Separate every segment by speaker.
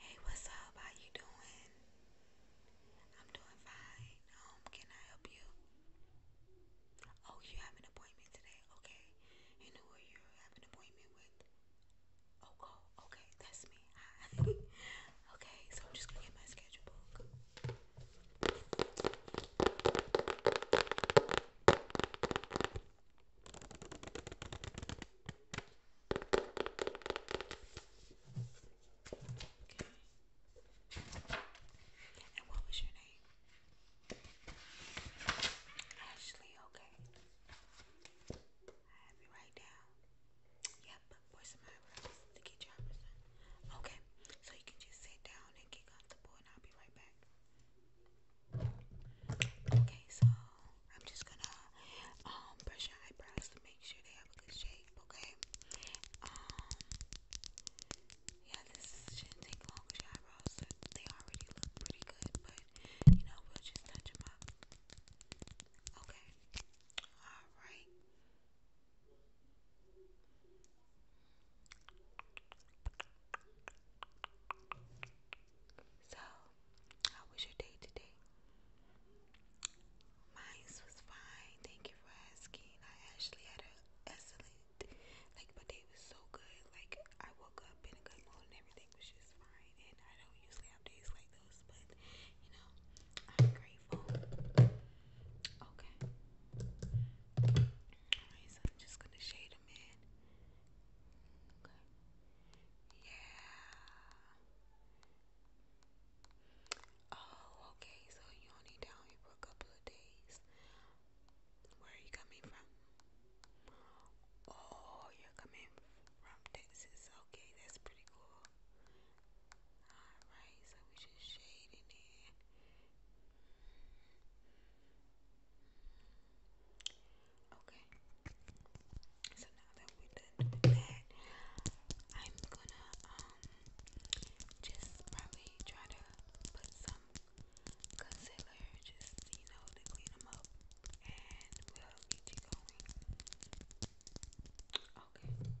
Speaker 1: Hey, what's up? How you doing? I'm doing fine. Um, can I help you? Oh, you have an appointment today. Okay. And who are you have an appointment with? oh, oh okay, that's me. Hi. okay, so I'm just gonna get my schedule book. And what was your name? Ashley, okay. I have you right down. Yep, where's some eyebrows to get your eyebrows Okay, so you can just sit down and get comfortable and I'll be right back. Okay, so I'm just gonna um, brush your eyebrows to make sure they have a good shape, okay? Um, yeah, this shouldn't take long with your eyebrows. They already look pretty good, but you know, we'll just touch them up. Okay. Alright. So, how was your day today? Mine was fine. Thank you for asking. I actually had an excellent, like, my day was so good. Like, I woke up in a good mood and everything was just fine. And I don't usually have days like those, but you know, I'm grateful grateful. Okay. Alright, so I'm just gonna shade them in. Okay. Yeah. Oh, okay. So you only down here for a couple of days. Where are you coming from? Oh, you're coming from Texas. Okay, that's pretty cool. Alright, so we just shading in. Okay. So now that we're that, I'm gonna um just probably try to put some concealer just you know to clean them up and we'll get you going. Okay.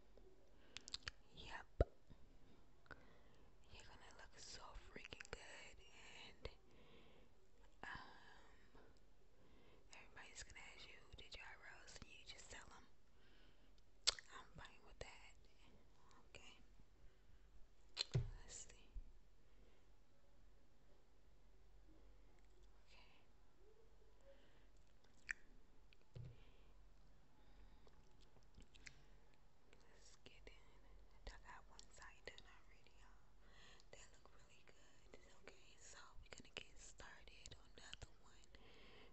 Speaker 1: Yep. You're gonna look so freaking good and um, everybody's gonna ask you did your eyebrows and you just tell them I'm fine with that. Okay. Let's see. Let's get in. I got one side done already, y'all. That look really good. Okay, so we're gonna get started on the one. Okay.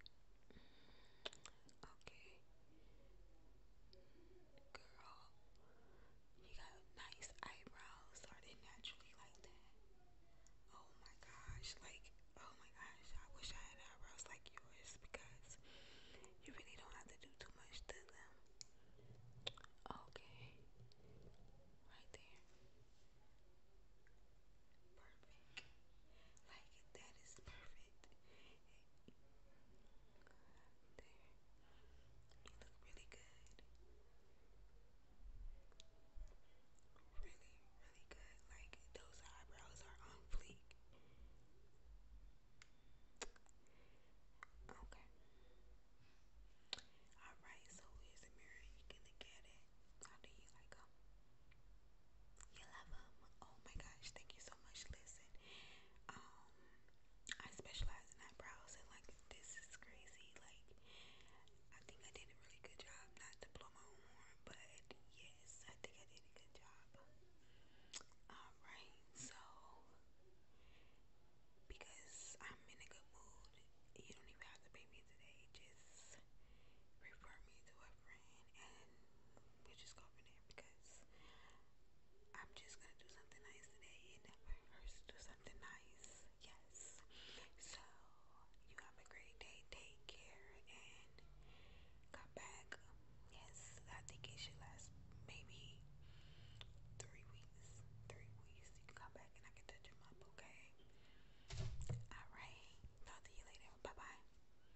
Speaker 1: Girl, you got nice eyebrows. Are naturally like that? Oh my gosh. Like, oh my gosh. I wish I had eyebrows like yours because you really don't have to do too much to them. Okay. Right there. Perfect. Like, that is perfect. There. You look really good. Really, really good. Like those eyebrows are on Okay. Alright, so here's a mirror. You can look at it. How do you like them? You love them? Oh my gosh, thank you so much, Liz. Um, I specialize in eyebrows, and like this is crazy. Like, I think I did a really good job, not to blow my horn, but yes, I think I did a good job. Alright, so because I'm in a good mood, you don't even have to pay me today, just refer me to a friend, and we just go from there because I'm just gonna do something nice today. It never hurts do something nice. Yes. So you have a great day. Take care and come back. Yes, I think it should last maybe three weeks. Three weeks. You can come back and I can touch them up, okay? Alright. Talk to you later. Bye bye.